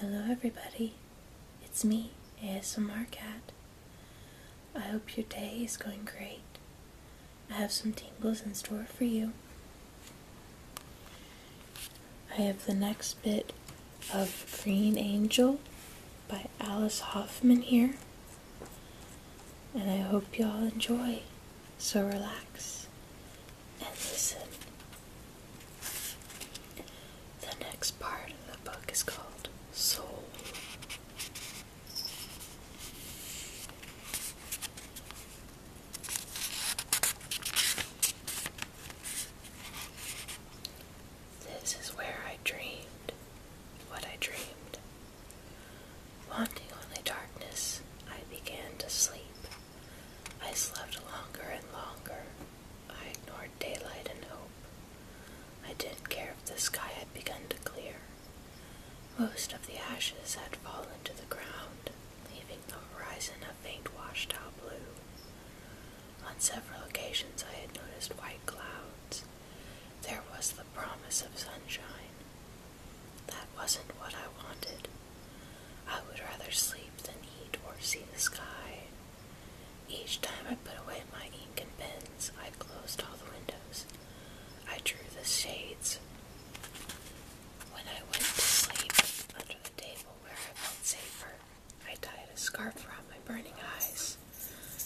Hello, everybody. It's me, ASMR Cat. I hope your day is going great. I have some tingles in store for you. I have the next bit of Green Angel by Alice Hoffman here. And I hope y'all enjoy. So relax and listen. The next part of the book is called Soul. This is where I dreamed what I dreamed. Wanting only darkness, I began to sleep. I slept longer and longer. I ignored daylight and hope. I didn't care if the sky had begun to clear. Most of the ashes had fallen to the ground, leaving the horizon a faint washed out blue. On several occasions I had noticed white clouds. There was the promise of sunshine. That wasn't what I wanted. I would rather sleep than eat or see the sky. Each time I put away my ink and pens, I closed all the windows. I drew the shades. When I went to sleep under the table where I felt safer, I tied a scarf around my burning eyes.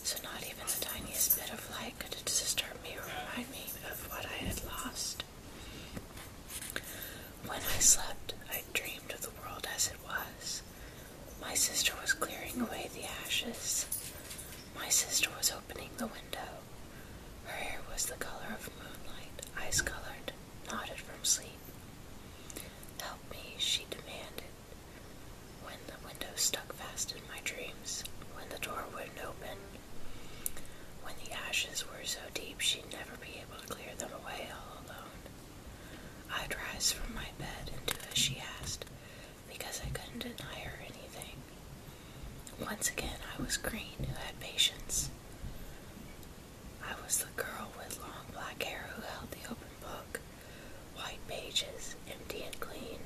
So not even the tiniest bit of light could disturb me or remind me of what I had lost. When I slept, I dreamed of the world as it was. My sister was clearing away the ashes. My sister was opening the window. Her hair was the color of moonlight, ice colored, knotted from sleep. Help me, she demanded. When the window stuck fast in my dreams, when the door wouldn't open, when the ashes were so deep she'd never be able to clear them away all alone. I'd rise from my bed and do as she asked, because I couldn't deny her anything. Once again, I was Green, who had patience. I was the girl with long black hair who held the open book. White pages, empty and clean,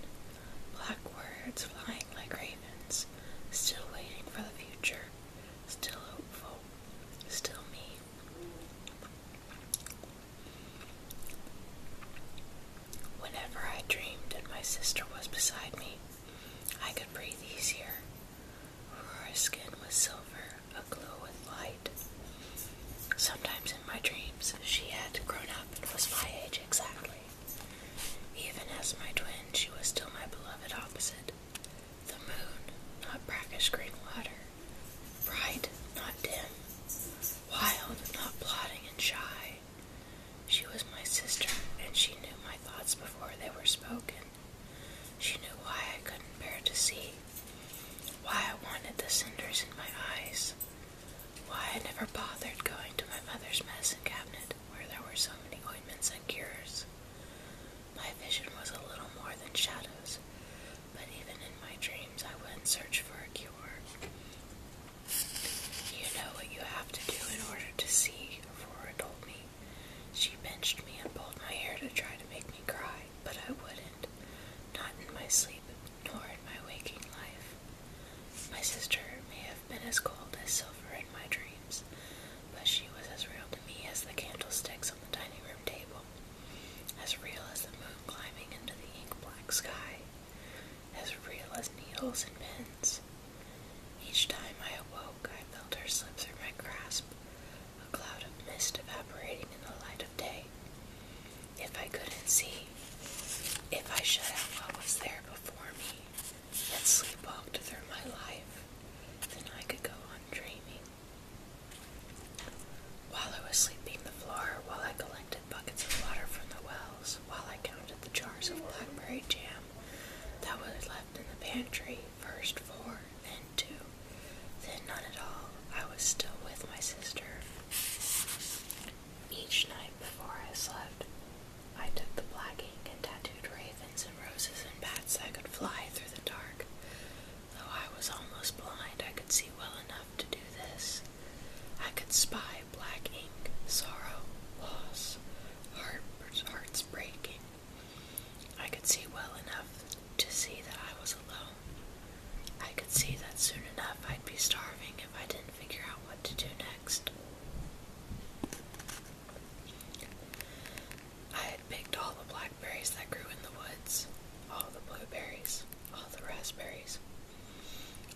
black words flying like ravens, still waiting for the future, still hopeful, still me. Whenever I dreamed and my sister was beside me, I could breathe easier. Aurora's skin was silver, aglow with light. Sometimes in my dreams she had grown up and was my age exactly. Even as my twin, she was still my beloved opposite. The moon, not brackish green water, bright, not dim, wild, not plodding and shy. She was my sister, and she knew my thoughts before they were spoken. She knew why I couldn't bear to see, why I wanted the cinders in my eyes, why I never bothered going to my mother's medicine cabinet where there were so many ointments and cures. My vision was a little more than shadows, but even in my dreams I wouldn't search for a cure. You know what you have to do in order to see, Aurora told me. She pinched me and pulled my hair to try to make me cry, but I wouldn't. Not in my sleep, nor in my waking life. My sister may have been as cold as silver in my dreams, but she was as real to me as the candlesticks on the dining room table, as real as the moon climbing into the ink black sky, as real as needles and pins. Each time I awoke, I felt her slip through my grasp, a cloud of mist evaporating in the light if I couldn't see, if I shut out what was there before me and sleepwalked through my life, then I could go on dreaming. While I was sweeping the floor, while I collected buckets of water from the wells, while I counted the jars of blackberry jam that was left in the pantry, first four, then two, then none at all. I was still with my sister. Each night before I slept, I took the black ink and tattooed ravens and roses and bats I could fly through the dark. Though I was almost blind, I could see well enough to do this. I could spy black ink, sorrow, loss, heart, hearts breaking. I could see well enough to see that I was alone. I could see that soon enough I'd be starving if I didn't figure out what to do next. I had picked all the blackberries that grew in the woods, all the blueberries, all the raspberries.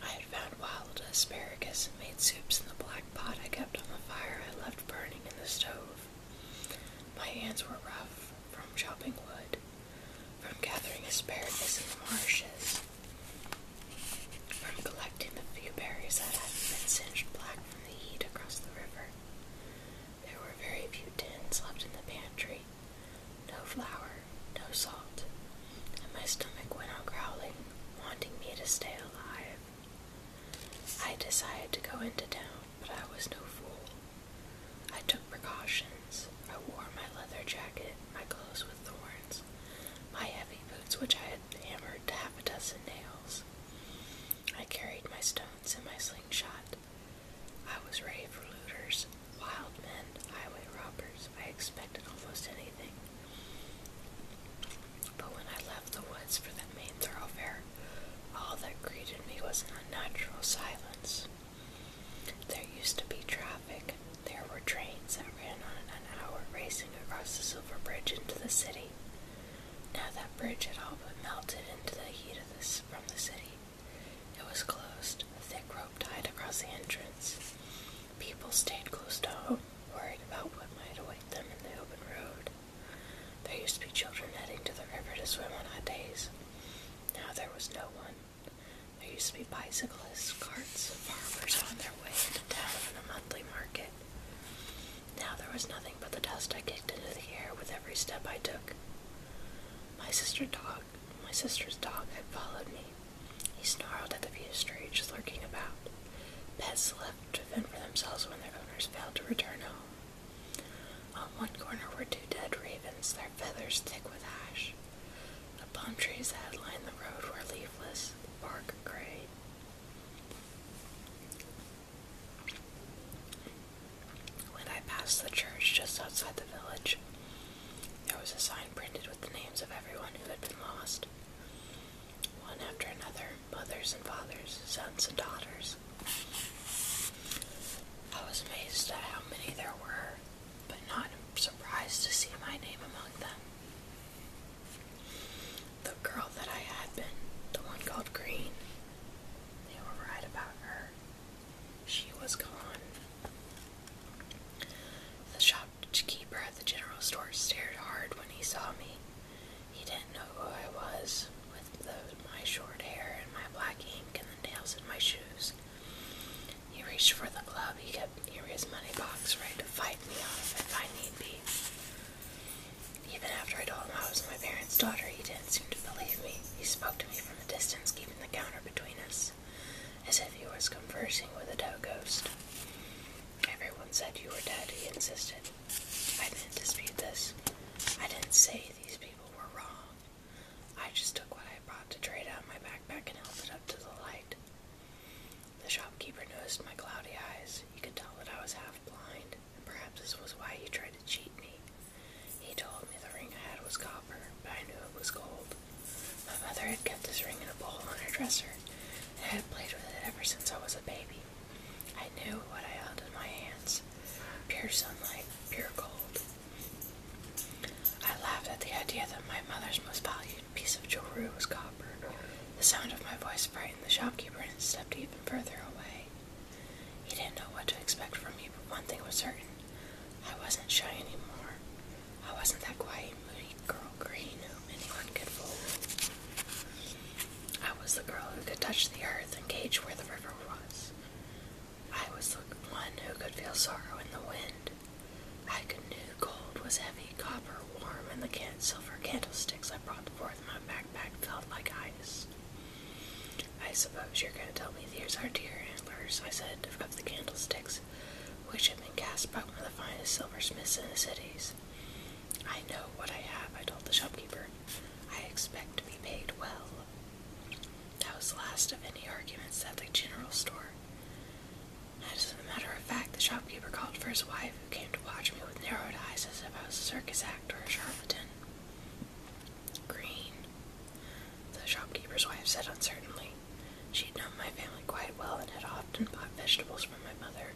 I had found wild asparagus and made soups in the black pot I kept on the fire I left burning in the stove. My hands were rough from chopping wood, from gathering asparagus in the marshes, from collecting the few berries that had been singed black from the heat across the river. There were very few tins left in the pantry, no flour, no salt, and my stomach went on growling, wanting me to stay alive. I decided to go into town, but I was no fool. I took precautions. I wore my leather jacket, my clothes with thorns, my heavy boots, which I had hammered to half a dozen nails. I carried my stones and my slingshot. I was ready for looters, wild men, highway robbers. I expected almost anything. But when I left the woods for that main thoroughfare, all that greeted me was an unnatural silence. There used to be traffic. There were trains that ran on an hour racing across the Silver Bridge into the city. Now that bridge had all but melted into the heat of this from the city. It was closed, a thick rope tied across the entrance. People stayed close to home, worried about what might await them in the open road. There used to be children heading to the river to swim on hot days. Now there was no one. There used to be bicyclists, carts, farmers on their way to town for the monthly market. Now there was nothing but the dust I kicked into the air with every step I took. My sister dog, my sister's dog, had followed me. He snarled at the few viewstreets lurking about. Pets left to fend for themselves when their owners failed to return home. On one corner were two dead ravens, their feathers thick with ash. The palm trees that lined the road were leafless, the bark gray. When I passed the church just outside the village, there was a sign printed with the names of everyone who had been lost. One after another, mothers and fathers, sons and daughters. I was amazed at how many there were, but not surprised to see my name among them. The girl that I had been, the one called Green, they were right about her. She was gone. The shopkeeper at the general store stared hard when he saw me. He didn't know who I was with the, my short hair and my black ink and the nails in my shoes. He reached for the glove he kept near his money box, ready to fight me off if I need be. Even after I told him I was my parents' daughter, he didn't seem to believe me. He spoke to me from a distance, keeping the counter between us, as if he was conversing with a dough ghost. Everyone said you were dead, he insisted. I didn't dispute this. I didn't say these people were wrong. I just took what I brought to trade out my backpack and held it up to the light. The shopkeeper noticed my cloudy eyes. He could tell that I was half blind, and perhaps this was why he tried to cheat me. He told me the ring I had was copper, but I knew it was gold. My mother had kept this ring in a bowl on her dresser, and I had played with it ever since I was a baby. I knew what I held in my hands pure sunlight, pure gold. I laughed at the idea that my mother's most valued piece of jewelry was copper. The sound of my voice frightened the shopkeeper and stepped even further away. He didn't know what to expect from me, but one thing was certain I wasn't shy anymore. I wasn't that quiet, moody girl green whom anyone could fool. I was the girl who could touch the earth and gauge where the river was. I was the one who could feel sorrow in the wind. I could knew gold was heavy, copper warm, and the can silver candlesticks I brought forth my backpack felt like ice. I suppose you're going to tell me these are deer antlers, I said of the candlesticks, which have been cast by one of the finest silversmiths in the cities. I know what I have, I told the shopkeeper. I expect to be paid well. That was the last of any arguments at the general store. As a matter of fact, the shopkeeper called for his wife, who came to watch me with narrowed eyes as if I was a circus act or a charlatan. Green, the shopkeeper's wife said uncertainly. She'd known my family quite well and had often bought vegetables from my mother.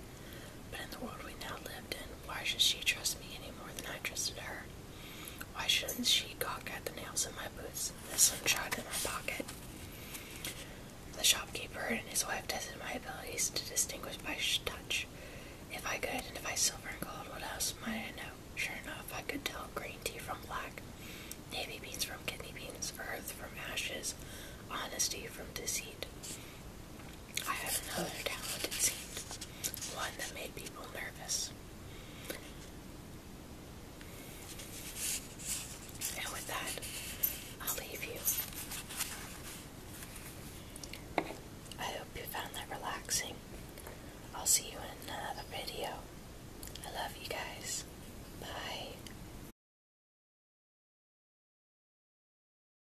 But in the world we now lived in, why should she trust me any more than I trusted her? Why shouldn't she cock at the nails in my boots, and the sunshine in my pocket? The shopkeeper and his wife tested my abilities to distinguish by touch. If I could identify silver and gold, what else might I know? Sure enough, I could tell green tea from black, navy beans from kidney beans, earth from ashes, honesty from deceit. I have another talent, it seems. One that made people nervous. And with that, I'll leave you. I hope you found that relaxing. I'll see you in another video. I love you guys. Bye.